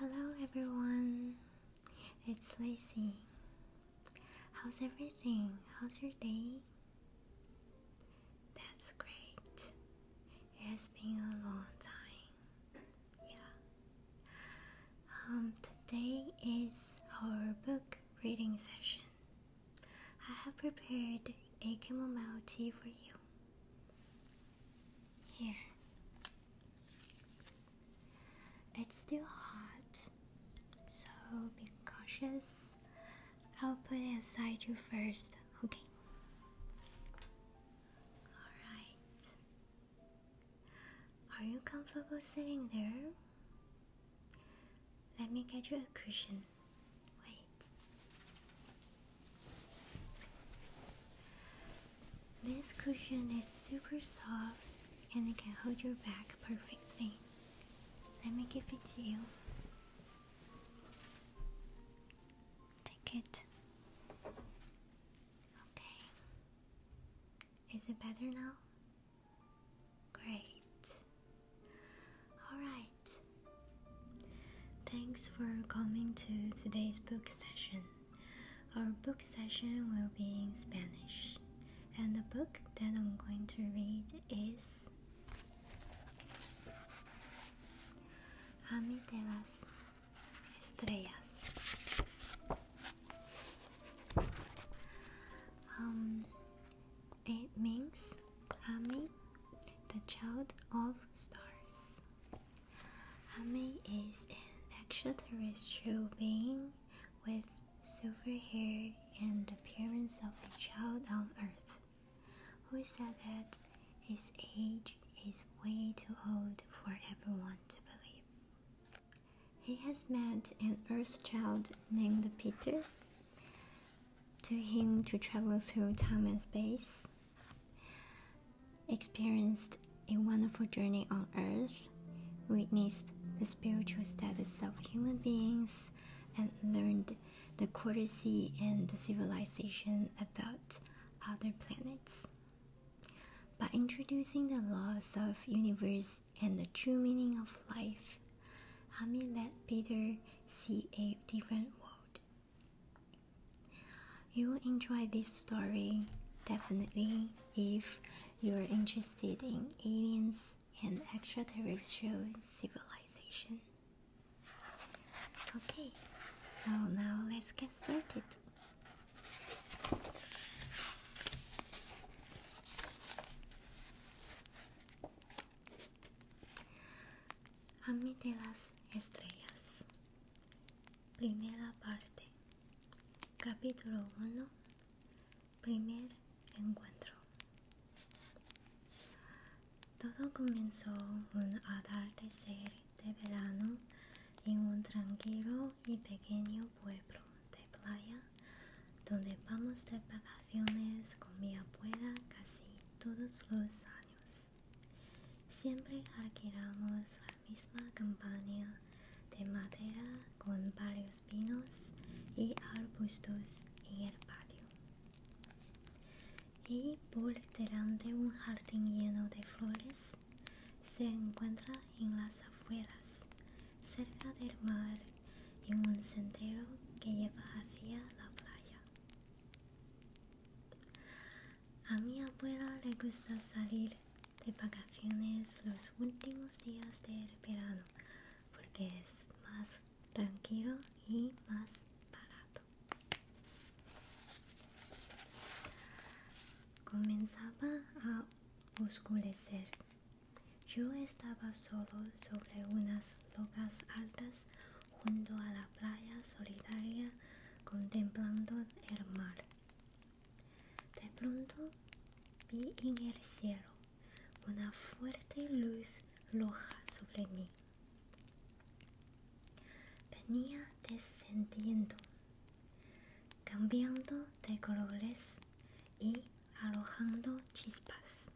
Hello everyone, it's Lacey. How's everything? How's your day? That's great. It has been a long time. Yeah. Um, today is our book reading session. I have prepared a chamomile tea for you. Here. It's still hot, so be cautious I'll put it aside you first, okay? Alright. Are you comfortable sitting there? Let me get you a cushion. Wait. This cushion is super soft and it can hold your back perfectly. Let me give it to you. Take it. Okay. Is it better now? Great. Alright. Thanks for coming to today's book session. Our book session will be in Spanish, and the book that I'm going to read is Ami de las estrellas. Um, it means Ami, the child of stars. Ami is an extraterrestrial being with silver hair, and appearance of a child on earth, who said that his age is way too old for everyone to believe. He has met an earth child named Peter, to him to travel through time and space, experienced a wonderful journey on earth, witnessed the spiritual status of human beings, and learned the courtesy and the civilization about other planets. By introducing the laws of universe and the true meaning of life, Ami let Peter see a different world. You will enjoy this story definitely if you're interested in aliens an extraterrestrial civilization. Okay, so now let's get started. Ame las Estrellas. Primera parte. Capítulo 1. Primer encuentro. Todo comenzó un atardecer de verano en un tranquilo y pequeño pueblo de playa donde vamos de vacaciones con mi abuela casi todos los años. Siempre alquilamos la misma campaña de madera con varios vinos y arbustos en el patio. Y por delante un jardín lleno de flores se encuentra en las afueras, cerca del mar, y un sendero que lleva hacia la playa. A mi abuela le gusta salir de vacaciones los últimos días del verano porque es más tranquilo y más barato. Comenzaba a oscurecer. Yo estaba solo sobre unas rocas altas junto a la playa solitaria contemplando el mar. De pronto vi en el cielo una fuerte luz roja sobre mí. Venía descendiendo, cambiando de colores y alojando chispas.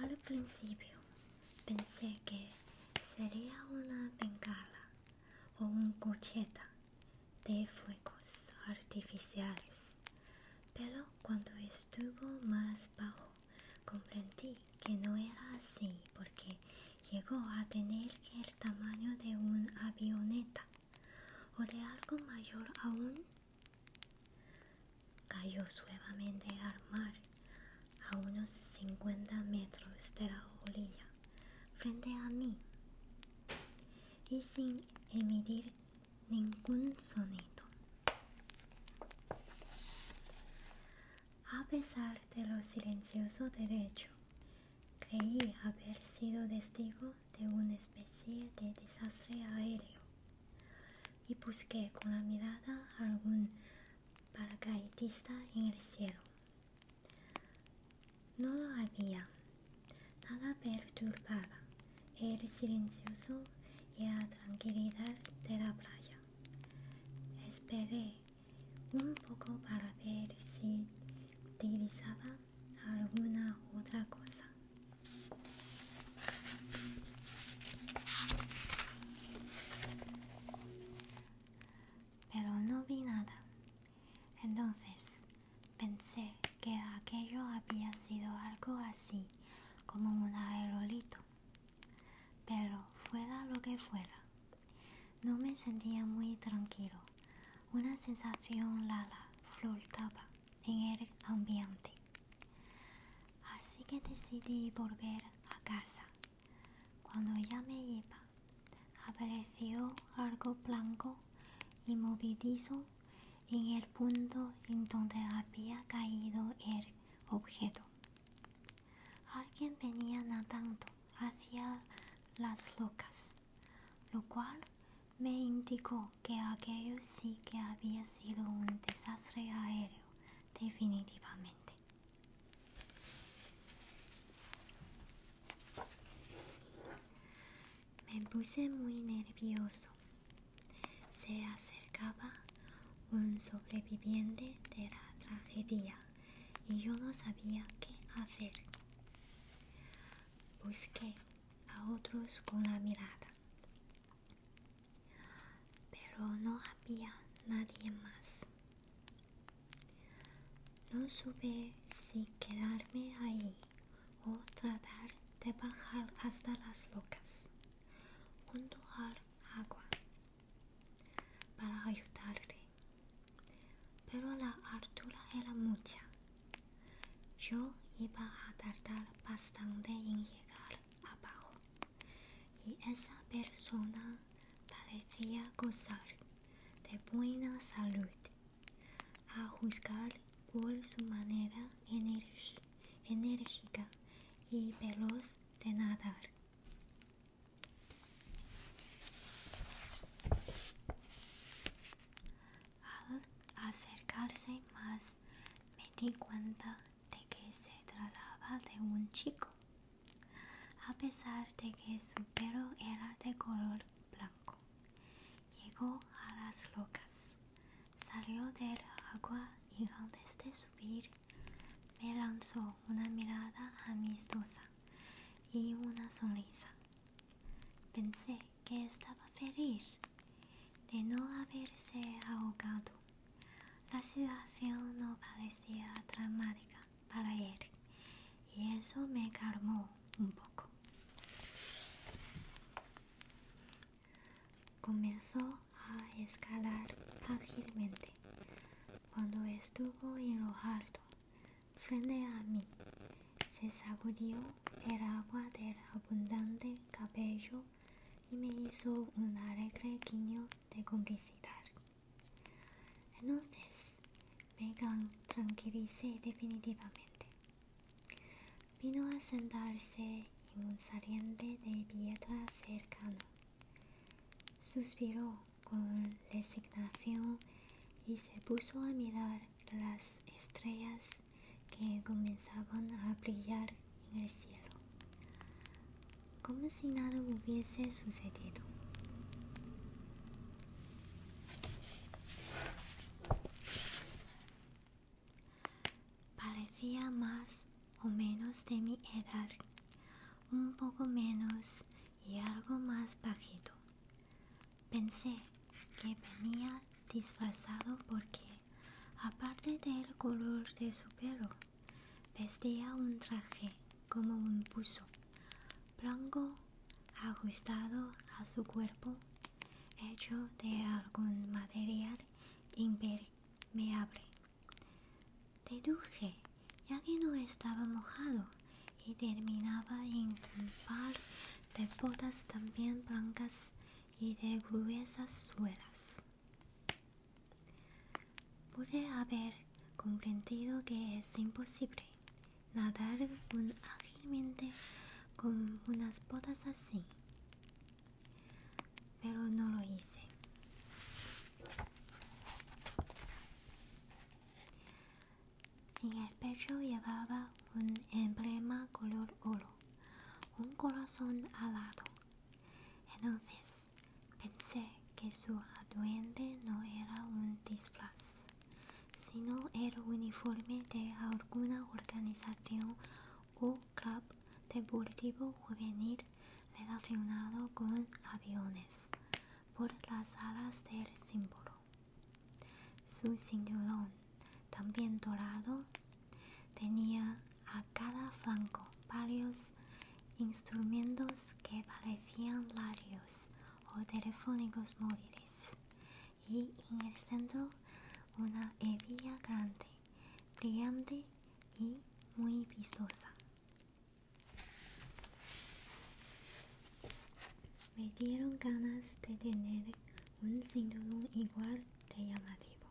Al principio pensé que sería una bengala o un cocheta de fuegos artificiales. Pero cuando estuvo más bajo, comprendí que no era así porque llegó a tener el tamaño de un avioneta o de algo mayor aún. Cayó suavemente al mar a unos 50 metros de la orilla frente a mí y sin emitir ningún sonido. A pesar de lo silencioso derecho, creí haber sido testigo de una especie de desastre aéreo y busqué con la mirada algún paracaidista en el cielo. No lo había, Nada perturbaba el silencioso y la tranquilidad de la playa. Esperé un poco para ver si utilizaba alguna otra cosa. Pero no vi nada. Entonces Pensé que aquello había sido algo así como un aerolito. Pero fuera lo que fuera, no me sentía muy tranquilo. Una sensación lala flotaba en el ambiente. Así que decidí volver a casa. Cuando ya me iba, apareció algo blanco y movidizo en el punto en donde había caído el objeto. Alguien venía nadando hacia las locas, lo cual me indicó que aquello sí que había sido un desastre aéreo, definitivamente. Me puse muy nervioso. Se acercaba un sobreviviente de la tragedia y yo no sabía qué hacer. Busqué a otros con la mirada, pero no había nadie más. No supe si quedarme ahí o tratar de bajar hasta las locas un agua para ayudarle pero la altura era mucha yo iba a tardar bastante en llegar abajo y esa persona parecía gozar de buena salud a juzgar por su manera enérgica y veloz de nadar. Al acercarse más me di cuenta de que se trataba de un chico. A pesar de que su pelo era de color Llegó a las locas. salió del agua y antes este de subir me lanzó una mirada amistosa y una sonrisa. Pensé que estaba feliz de no haberse ahogado. La situación no parecía dramática para él y eso me calmó un poco. Comenzó a escalar ágilmente. Cuando estuvo en frente a mí, se sacudió el agua del abundante cabello y me hizo un alegre guiño de complicidad. Entonces me tranquilicé definitivamente. Vino a sentarse en un saliente de piedra cercano. Suspiró con resignación y se puso a mirar las estrellas que comenzaban a brillar en el cielo, como si nada hubiese sucedido. Parecía más o menos de mi edad, un poco menos y algo más bajito. Pensé que venía disfrazado porque, aparte del color de su pelo, vestía un traje como un buzo, blanco, ajustado a su cuerpo hecho de algún material impermeable. Deduje, ya que no estaba mojado y terminaba en un par de botas también blancas y de gruesas suelas. Pude haber comprendido que es imposible nadar con ágilmente con unas botas así pero no lo hice en el pecho llevaba un emblema color oro un corazón alado entonces pensé que su aduente no era un disfraz sino el uniforme de alguna organización o club deportivo juvenil relacionado con aviones por las alas del símbolo. Su cinturón, también dorado, tenía a cada flanco varios instrumentos que parecían radios o telefónicos móviles y en el centro una hebilla grande, brillante y muy vistosa. Me dieron ganas de tener un cinturón igual de llamativo,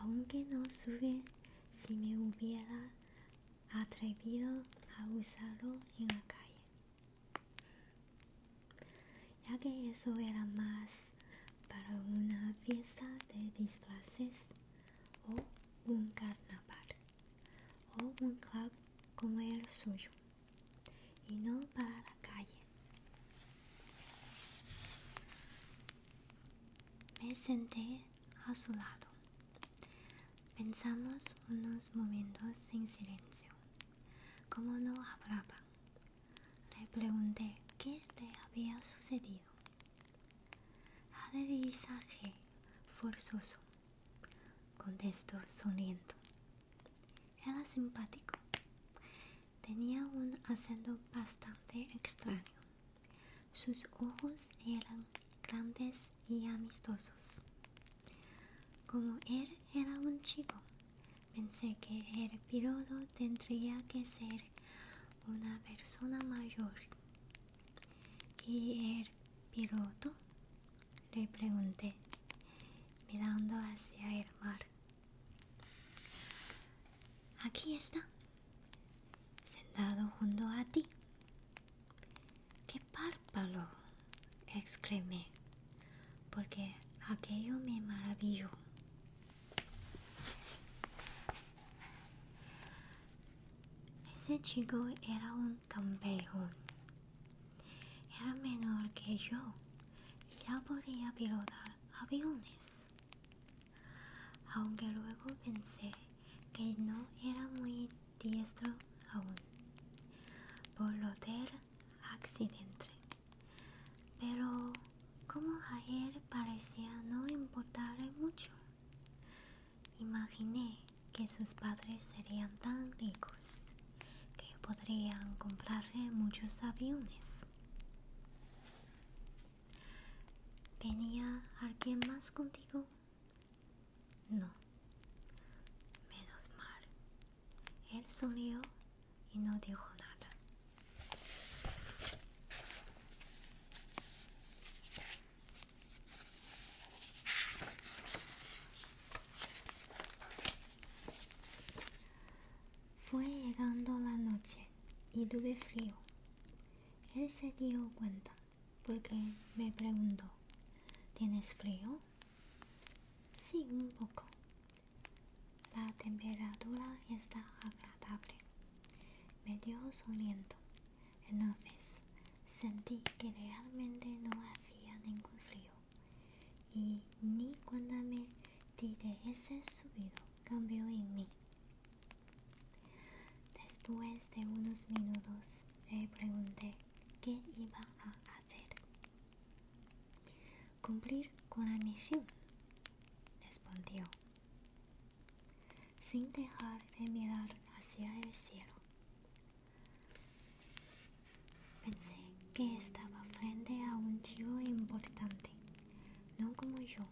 aunque no sube si me hubiera atrevido a usarlo en la calle ya que eso era más para una fiesta de disfraces o un carnaval o un club como el suyo y no para la calle. Me senté a su lado. Pensamos unos momentos en silencio. Como no hablaba, le pregunté qué le había sucedido. Aterrizaje forzoso, contestó sonriendo. Era simpático. Tenía un acento bastante extraño. Sus ojos eran grandes y amistosos. Como él era un chico, Pensé que el piloto tendría que ser una persona mayor. ¿Y el piloto? Le pregunté, mirando hacia el mar. Aquí está, sentado junto a ti. ¡Qué párpalo excreme porque aquello me maravilló. Ese chico era un campeón. Era menor que yo y ya podía pilotar aviones. Aunque luego pensé que no era muy diestro aún. Por lo del accidente. Pero como ayer parecía no importarle mucho, imaginé que sus padres serían tan ricos que podrían comprarle muchos aviones. ¿Tenía alguien más contigo? No. Menos mal. Él sonrió y no dijo nada. Fue llegando la noche y tuve frío. Él se dio cuenta porque me preguntó, ¿tienes frío? Sí, un poco, la temperatura está agradable. Me dio su Entonces sentí que realmente no hacía ningún frío. Y ni cuando me di ese subido cambió en mí. Después de unos minutos le pregunté qué iba a hacer. Cumplir con la misión, respondió, sin dejar de mirar hacia el cielo. Pensé que estaba frente a un chivo importante, no como yo,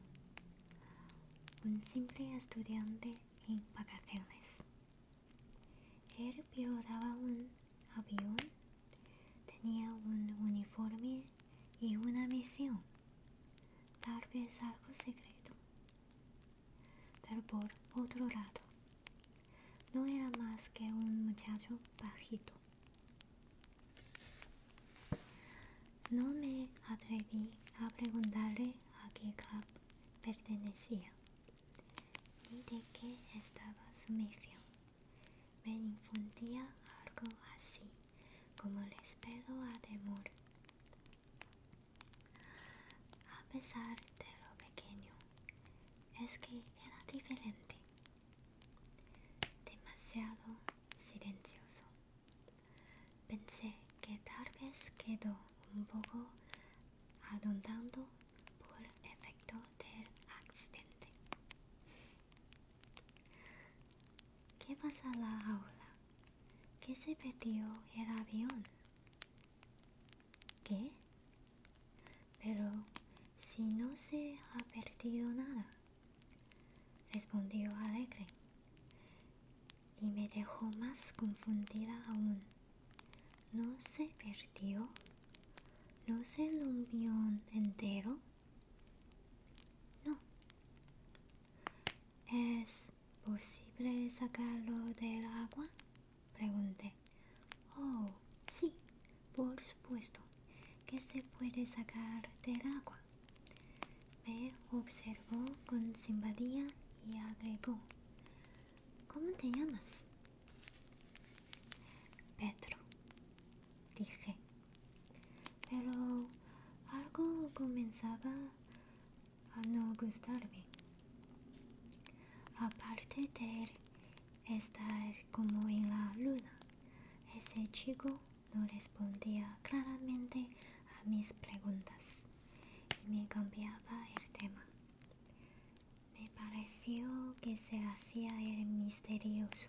un simple estudiante en vacaciones. Él pilotaba un avión Tenía un uniforme y una misión, tal vez algo secreto. Pero por otro lado, no era más que un muchacho bajito. No me atreví a preguntarle a qué club pertenecía ni de qué estaba su misión. Me infundía algo así como el pedo a temor. A pesar de lo pequeño, es que era diferente. Demasiado silencioso. Pensé que tal vez quedó un poco adondeando por efecto del accidente. ¿Qué pasa la aula? ¿Qué se perdió el avión? ¿Qué? Pero si no se ha perdido nada, respondió alegre y me dejó más confundida aún no se perdió, no se lo entero. No. ¿Es posible sacarlo del agua? Pregunté. Oh, sí, por supuesto que se puede sacar del agua. Me observó con simpatía y agregó. ¿Cómo te llamas? Pedro, dije, pero algo comenzaba a no gustarme. Aparte de estar como en la luna, ese chico no respondía claramente a mis preguntas y me cambiaba el tema. Me pareció que se hacía el misterioso.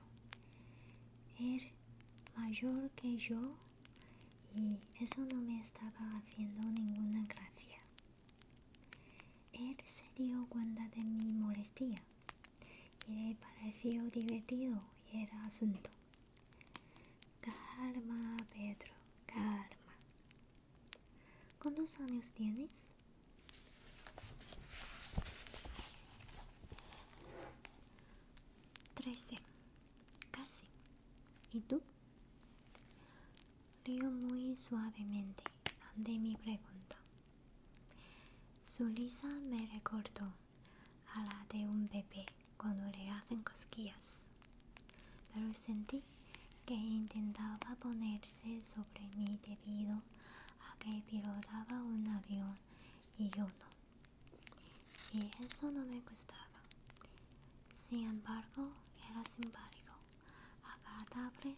Era mayor que yo y eso no me estaba haciendo ninguna gracia. Él se dio cuenta de mi molestia y le pareció divertido y era asunto. Calma, Pedro, calma. ¿Cuántos años tienes? 13. casi. ¿Y tú? Río muy suavemente ante mi pregunta. Su lisa me recordó a la de un bebé cuando le hacen cosquillas, pero sentí que intentaba ponerse sobre mí debido a que pilotaba un avión y yo no. Y eso no me gustaba. Sin embargo, era simpático, agradable.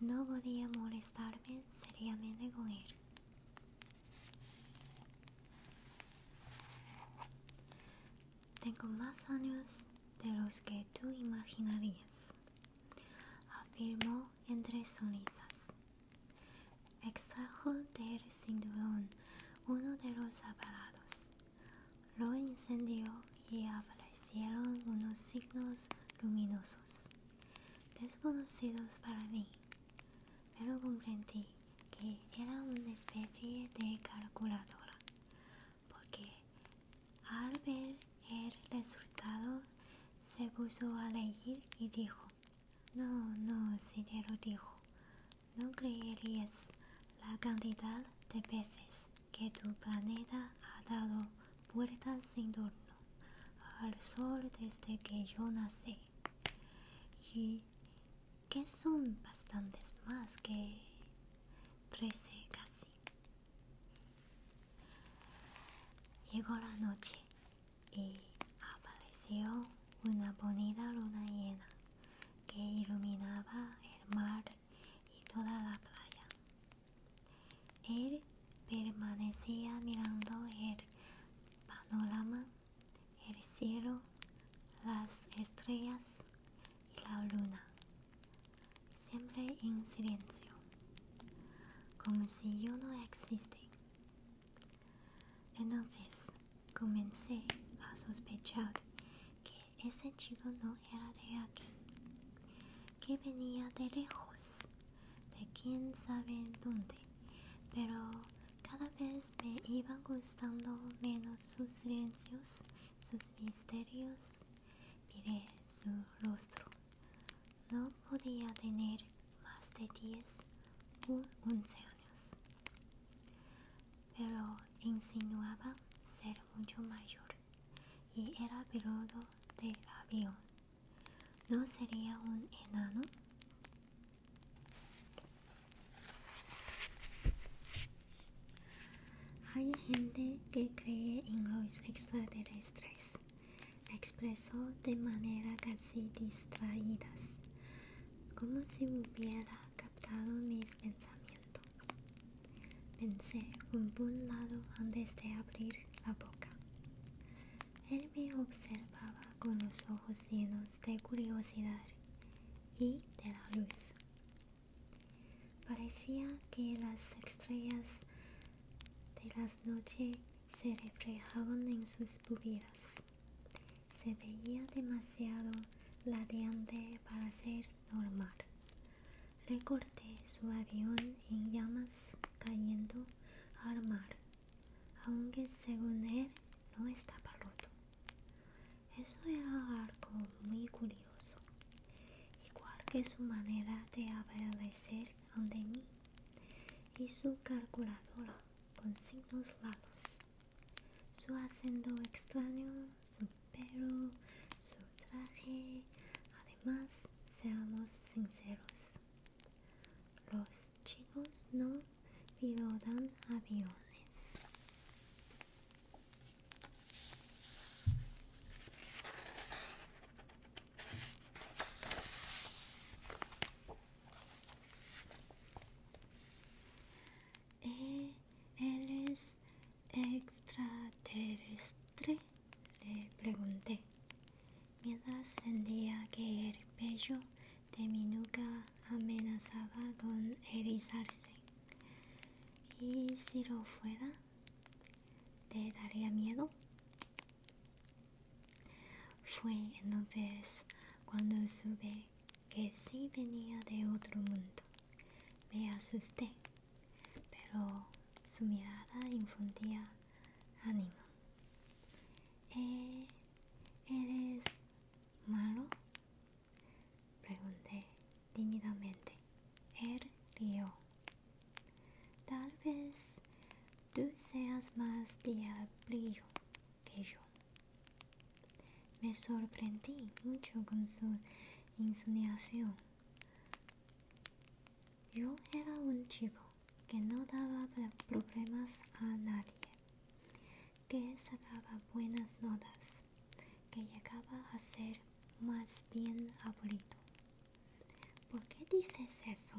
No podía molestarme seriamente con él. Tengo más años de los que tú imaginarías afirmó entre sonrisas. Extrajo del cinturón uno de los aparatos, lo encendió y aparecieron unos signos luminosos, desconocidos para mí, pero comprendí que era una especie de calculadora porque al ver el resultado se puso a leer y dijo, no, no, si dijo, no creerías la cantidad de veces que tu planeta ha dado puertas sin torno al sol desde que yo nací. Y que son bastantes más que trece casi. Llegó la noche y apareció una bonita luna llena que iluminaba el mar y toda la playa. Él permanecía mirando el panorama, el cielo, las estrellas y la luna siempre en silencio, como si yo no existe. Entonces comencé a sospechar que ese chico no era de aquí, que venía de lejos, de quién sabe dónde, pero cada vez me iban gustando menos sus silencios, sus misterios Miré su rostro. No podía tener más de 10 o 11 años, pero insinuaba ser mucho mayor y era peludo de avión. ¿No sería un enano? Hay gente que cree en los extraterrestres, expresó de manera casi distraída, como si hubiera captado mis pensamientos. Pensé un buen lado antes de abrir la boca. Él me observaba con los ojos llenos de curiosidad y de la luz. Parecía que las estrellas de las noches se reflejaban en sus pupilas. Se veía demasiado ladeante para ser normal. Recorté su avión en llamas cayendo al mar, aunque según él no estaba roto. Eso era algo muy curioso igual que su manera de aparecer ante mí y su calculadora con signos largos, su acento extraño, su pelo, su traje. Además, seamos sinceros, los chicos no pilotan aviones. ¿Eres extraterrestre? Le pregunté, mientras sentía que el pecho de mi nuca amenazaba con erizarse. ¿Y si lo fuera? te daría miedo fue entonces cuando supe que sí venía de otro mundo me asusté pero su mirada infundía ánimo ¿E-, eres malo pregunté tímidamente él er-, rió Tal vez tú seas más diablillo que yo. Me sorprendí mucho con su insinuación. Yo era un chico que no daba problemas a nadie, que sacaba buenas notas, que llegaba a ser más bien aburrido. ¿Por qué dices eso?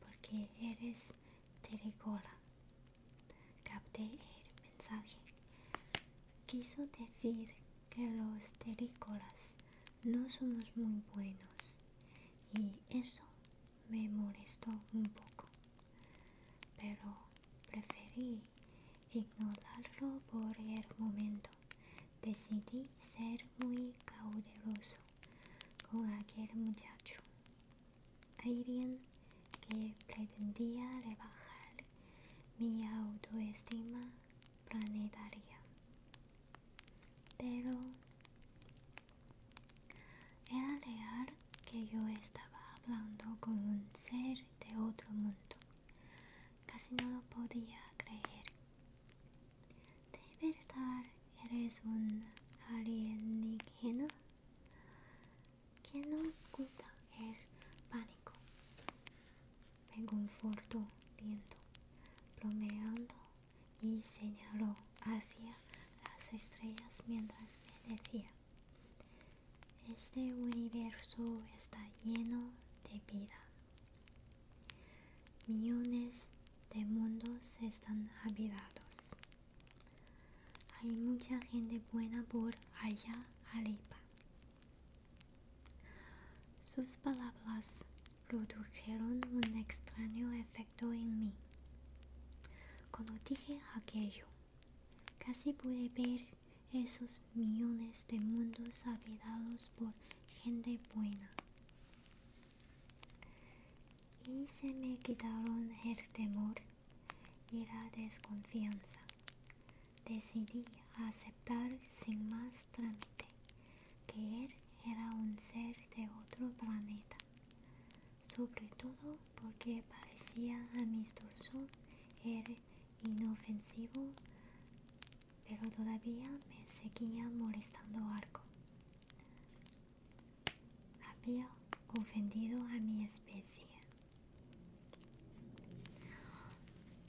Porque eres tericola. Capté el mensaje. Quiso decir que los tericolas no somos muy buenos y eso me molestó un poco, pero preferí ignorarlo por el momento decidí ser muy caudeloso con aquel muchacho, alguien que pretendía rebajar mi autoestima planetaria. Pero era real que yo estaba hablando con un ser de otro mundo Casi no lo podía creer. ¿De verdad eres un alienígena? Que no oculta el pánico. Me confortó viendo, bromeando y señaló hacia las estrellas mientras me decía. Este universo está lleno de vida Millones de mundos están habitados. Hay mucha gente buena por allá arriba. Sus palabras produjeron un extraño efecto en mí. Cuando dije aquello, casi pude ver esos millones de mundos habitados por gente buena. Y se me quitaron el temor y la desconfianza. Decidí aceptar sin más trámite que él era un ser de otro planeta, sobre todo porque parecía amistoso, era inofensivo, pero todavía me seguía molestando algo. Había ofendido a mi especie.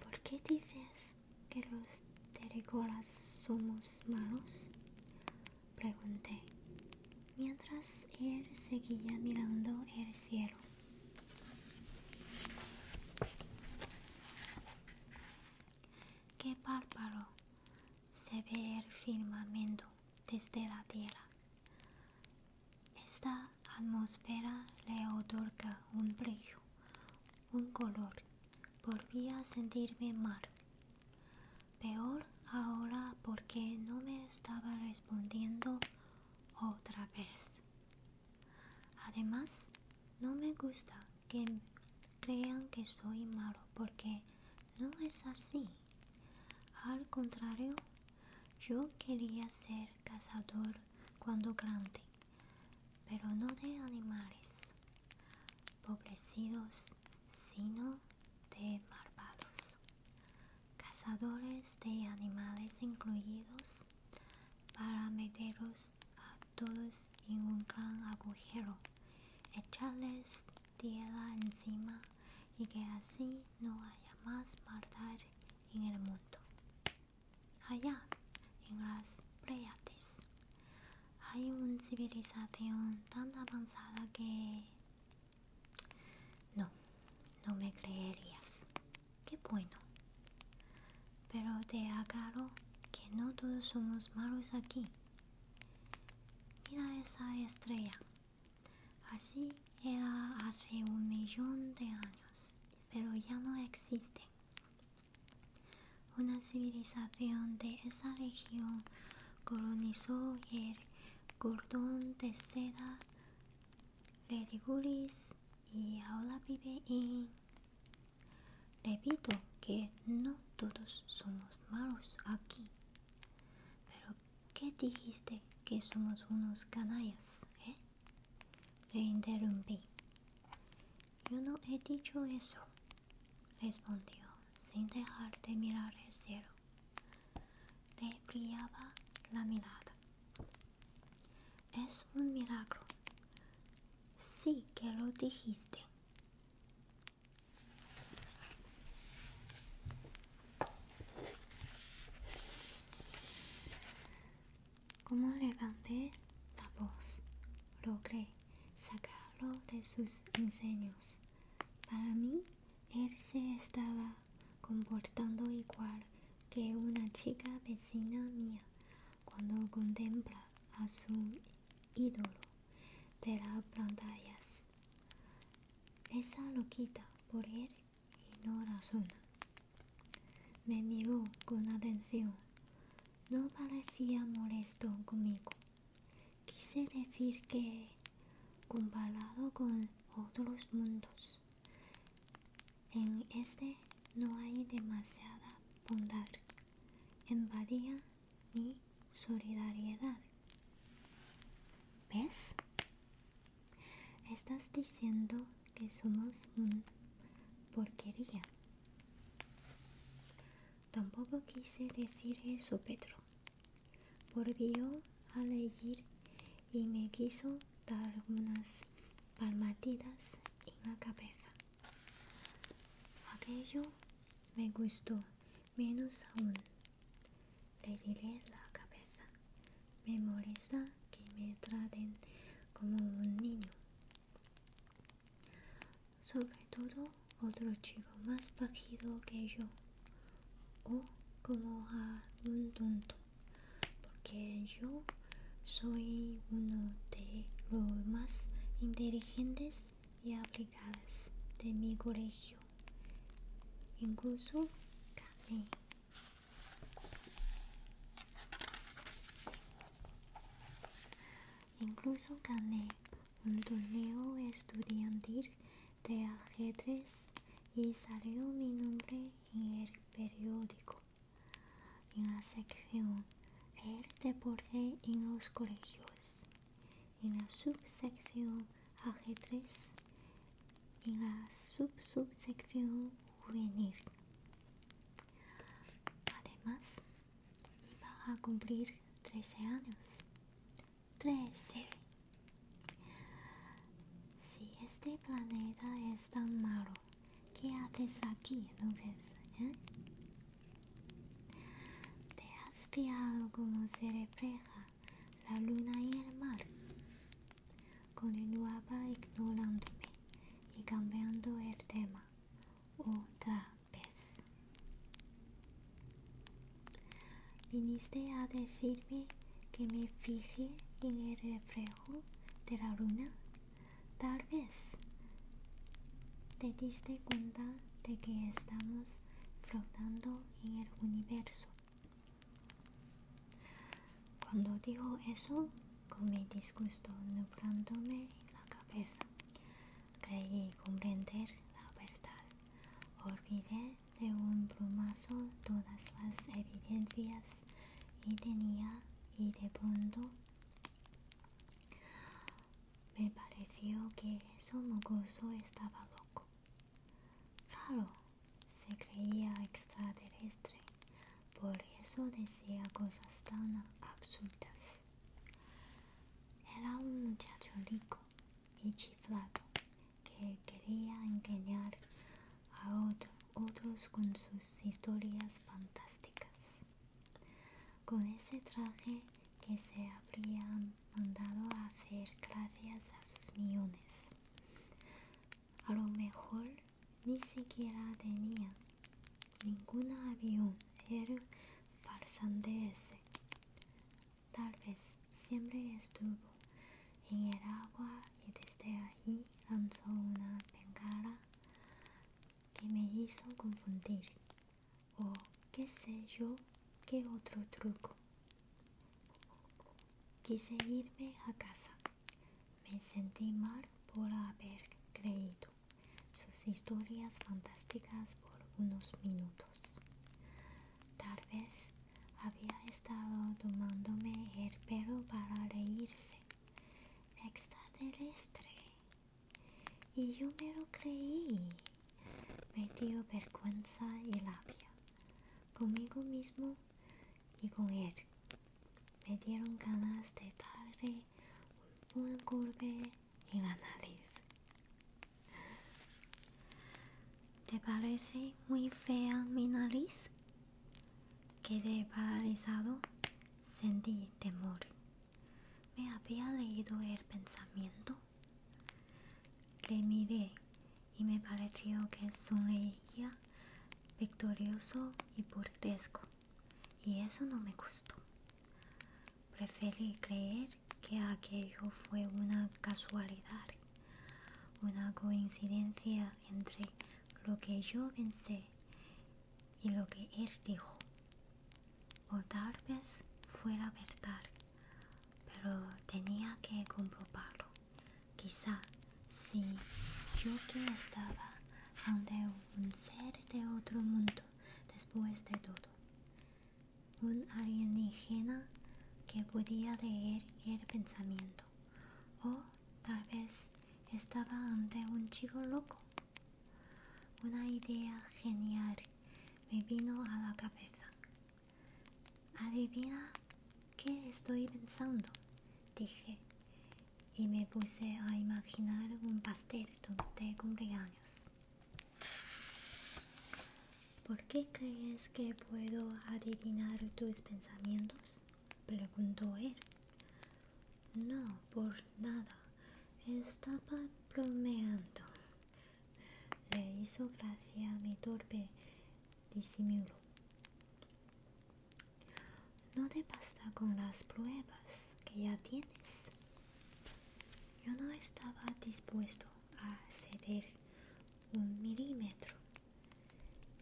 ¿Por qué dices que los terrícolas somos malos? Pregunté, mientras él seguía mirando el cielo. Qué bárbaro se ve el firmamento desde la tierra. Esta atmósfera le otorga un brillo, un color. Volví a sentirme mal. Peor ahora porque no me estaba respondiendo otra vez. Además, no me gusta que crean que soy malo porque no es así. Al contrario, yo quería ser cazador cuando grande, pero no de animales, pobrecidos, sino de malvados. Cazadores de animales incluidos, para meteros a todos en un gran agujero, echarles tierra encima y que así no haya más maldad en el mundo. Allá, en las Pleiades, hay una civilización tan avanzada que... No, no me creerías qué bueno. Pero te aclaro que no todos somos malos aquí. Mira esa estrella. Así era hace un millón de años, pero ya no existe. Una civilización de esa región colonizó el cordón de seda Redigulis y ahora vive en Repito que no todos somos malos aquí. Pero ¿qué dijiste que somos unos canallas? ¿Eh? Le interrumpí. Yo no he dicho eso, respondió sin dejar de mirar el cielo. Le brillaba la mirada. Es un milagro. Sí que lo dijiste. Como levanté la voz, logré sacarlo de sus enseños. Para mí, él se estaba comportando igual que una chica vecina mía, cuando contempla a su ídolo de las pantallas. Esa lo quita por él y no razona. Me miró con atención. No parecía molesto conmigo. Quise decir que, comparado con otros mundos, en este no hay demasiada bondad, empatía ni solidaridad. ¿Ves? Estás diciendo que somos un porquería. Tampoco quise decir eso, Pedro. Volvió a leer y me quiso dar unas palmaditas y la cabeza. Aquello me gustó menos aún. Le diré la cabeza. Me molesta que me traten como un niño. Sobre todo otro chico más bajito que yo. O como a tonto porque yo soy uno de los más inteligentes y aplicadas de mi colegio. Incluso gané. Incluso gané un torneo estudiantil de ajedrez y salió mi nombre en el periódico en la sección el deporte en los colegios, en la subsección aj3 en la subsubsección juvenil. Además, iba a cumplir 13 años. 13. Si este planeta es tan malo, ¿Qué haces aquí entonces? Eh? Te has fiado como se refleja la luna y el mar. Continuaba ignorándome y cambiando el tema otra vez. Viniste a decirme que me fijé en el reflejo de la luna Tal vez te diste cuenta de que estamos flotando en el universo. Cuando dijo eso, con mi disgusto nublándome la cabeza, creí comprender la verdad. Olvidé de un plumazo todas las evidencias y tenía y de pronto me pareció que su mocoso estaba loco. Claro, se creía extraterrestre, por eso decía cosas tan absurdas. Era un muchacho rico y chiflado que quería engañar a otro otros con sus historias fantásticas. Con ese traje que se habrían mandado a hacer gracias a sus millones. A lo mejor ni siquiera tenía ningún avión, era farsante ese. Tal vez siempre estuvo en el agua y desde ahí lanzó una bengala que me hizo confundir o qué sé yo qué otro truco. Quise irme a casa. Me sentí mal por haber creído sus historias fantásticas por unos minutos. Tal vez había estado tomándome el pelo para reírse extraterrestre. Y yo me lo creí. Me dio vergüenza y labia. Conmigo mismo y con él. Me dieron ganas de darle un golpe en la nariz. ¿Te parece muy fea mi nariz? Quedé paralizado, sentí temor. ¿Me había leído el pensamiento? Le miré y me pareció que sonreía victorioso y burlesco, y eso no me gustó. Preferí creer que aquello fue una casualidad, una coincidencia entre lo que yo pensé y lo que él dijo. O tal vez fuera verdad, pero tenía que comprobarlo. Quizá si yo que estaba ante un ser de otro mundo después de todo, un alienígena que podía leer el pensamiento. O tal vez estaba ante un chico loco. Una idea genial me vino a la cabeza. Adivina qué estoy pensando, dije, y me puse a imaginar un pastel de cumpleaños. ¿Por qué crees que puedo adivinar tus pensamientos? preguntó él. No, por nada. Estaba bromeando. Le hizo gracia mi torpe disimulo. No te basta con las pruebas que ya tienes. Yo no estaba dispuesto a ceder un milímetro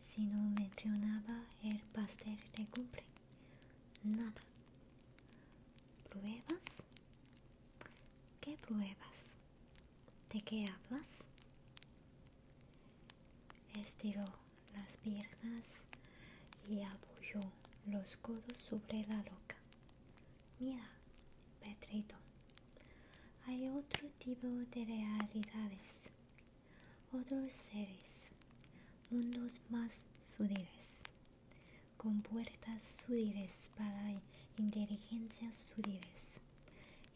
si no mencionaba el pastel de cumple, nada. ¿Pruebas? ¿Qué pruebas? ¿De qué hablas? Estiró las piernas y apoyó los codos sobre la loca. Mira, Petrito, hay otro tipo de realidades otros seres, mundos más sutiles, con puertas sutiles para inteligencias sutiles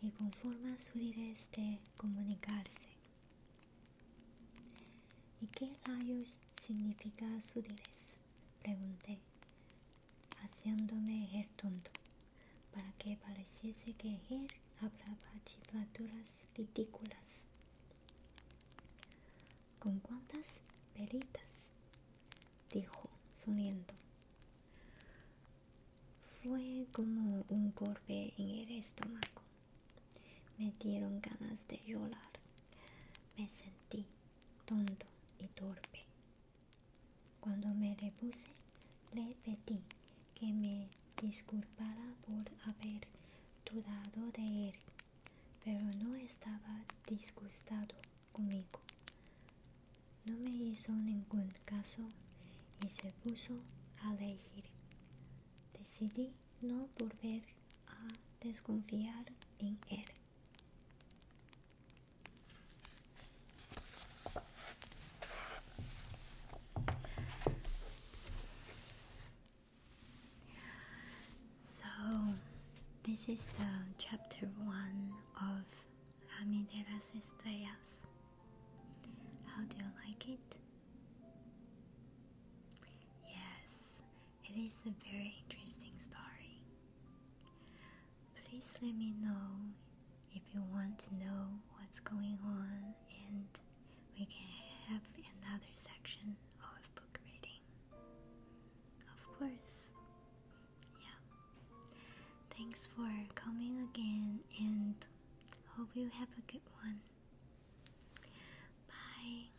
y con formas sutiles de comunicarse. ¿Y qué rayos significa sutiles? Pregunté, haciéndome el tonto, para que pareciese que ejer hablaba chiflaturas Litículas. ¿Con cuántas peritas? dijo, sonriendo. Fue como un golpe en el estómago. Me dieron ganas de llorar. Me sentí tonto y torpe. Cuando me repuse, le pedí que me disculpara por haber dudado de él, pero no estaba disgustado conmigo. No me hizo ningún caso y se puso a elegir. Decidí no volver a desconfiar en él. So, this is the chapter one of de Estrellas. How do you like it? Yes, it is a very interesting story. Please let me know if you want to know what's going on and we can have another section of book reading. Of course. Yeah. Thanks for coming again and hope you have a good one. Bye.